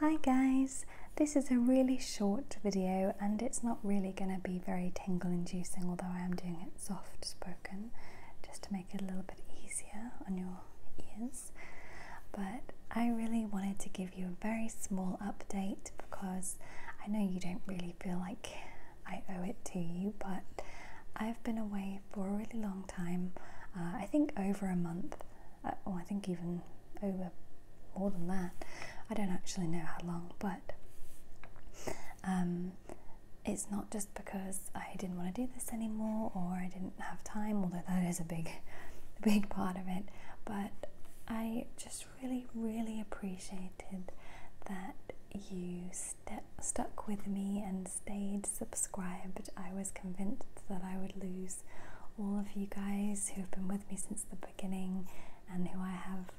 Hi guys, this is a really short video and it's not really going to be very tingle inducing although I am doing it soft spoken just to make it a little bit easier on your ears but I really wanted to give you a very small update because I know you don't really feel like I owe it to you but I've been away for a really long time. Uh, I think over a month, uh, or I think even over more than that. I don't actually know how long, but um, it's not just because I didn't want to do this anymore or I didn't have time, although that is a big, big part of it. But I just really, really appreciated that you st stuck with me and stayed subscribed, I was convinced that I would lose all of you guys who have been with me since the beginning and who I have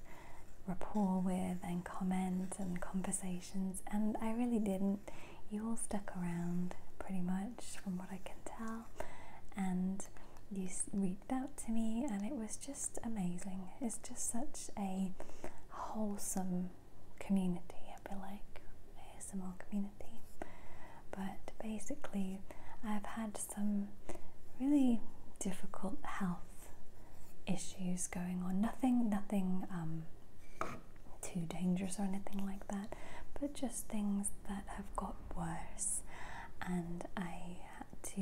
rapport with and comment and conversations, and I really didn't. You all stuck around pretty much from what I can tell, and you reached out to me, and it was just amazing. It's just such a wholesome community, I feel like, a small community. But basically, I've had some really difficult health issues going on. Nothing, nothing um, too dangerous or anything like that, but just things that have got worse, and I had to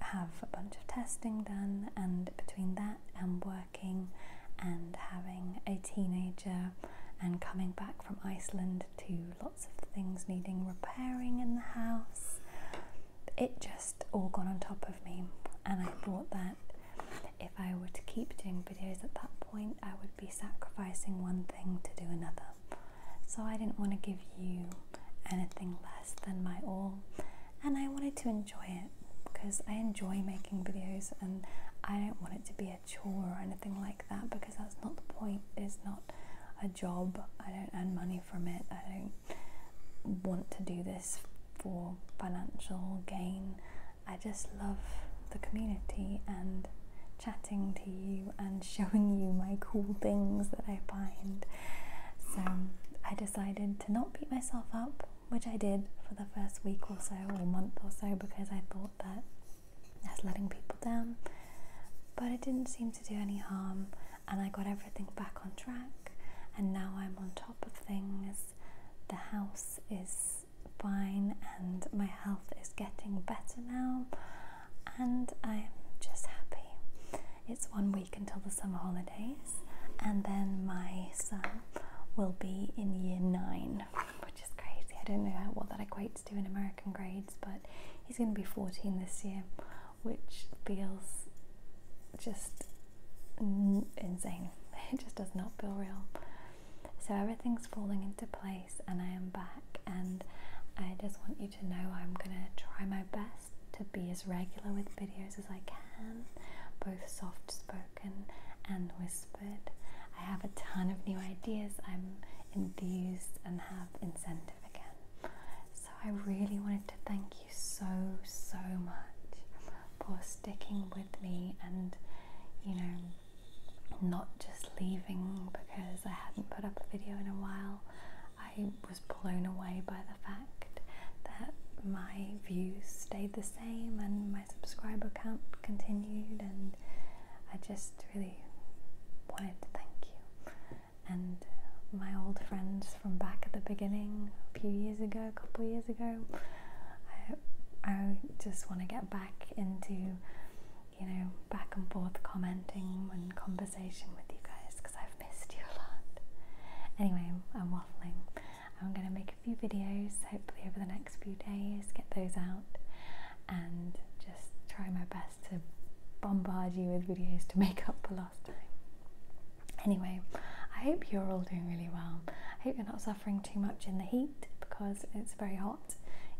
have a bunch of testing done, and between that and working and having a teenager and coming back from Iceland to lots of things needing repairing in the house, it just all got on top of me. And I thought that if I were to keep doing videos at that point, I would be sacrificing one thing to do another. So I didn't want to give you anything less than my all, and I wanted to enjoy it because I enjoy making videos and I don't want it to be a chore or anything like that because that's not the point. It's not a job, I don't earn money from it, I don't want to do this for financial gain. I just love the community and chatting to you and showing you my cool things that I find. So I decided to not beat myself up, which I did for the first week or so, or month or so, because I thought that I was letting people down. But it didn't seem to do any harm, and I got everything back on track, and now I'm on top of things. The house is is fine and my health is getting better now and I'm just happy. It's one week until the summer holidays and then my son will be in year nine, which is crazy. I don't know what that equates to in American grades, but he's going to be 14 this year, which feels just insane. It just does not feel real. So everything's falling into place, and I am back. And I just want you to know I'm gonna try my best to be as regular with videos as I can, both soft spoken and whispered. I have a ton of new ideas. I'm enthused and have incentive again. So I really wanted to thank you so, so much for sticking with and you know not just leaving because I hadn't put up a video in a while. I was blown away by the fact that my views stayed the same and my subscriber count continued and I just really wanted to thank you and my old friends from back at the beginning a few years ago, a couple years ago. I, just want to get back into, you know, back and forth commenting and conversation with you guys because I've missed you a lot. Anyway, I'm waffling. I'm going to make a few videos hopefully over the next few days, get those out, and just try my best to bombard you with videos to make up for Anyway, I hope you're all doing really well. I hope you're not suffering too much in the heat because it's very hot,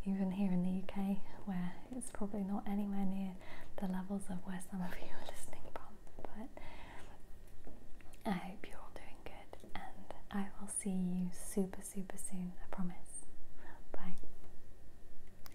even here in the UK, where it's probably not anywhere near the levels of where some of you are listening from. But I hope you're all doing good, and I will see you super, super soon, I promise. Bye.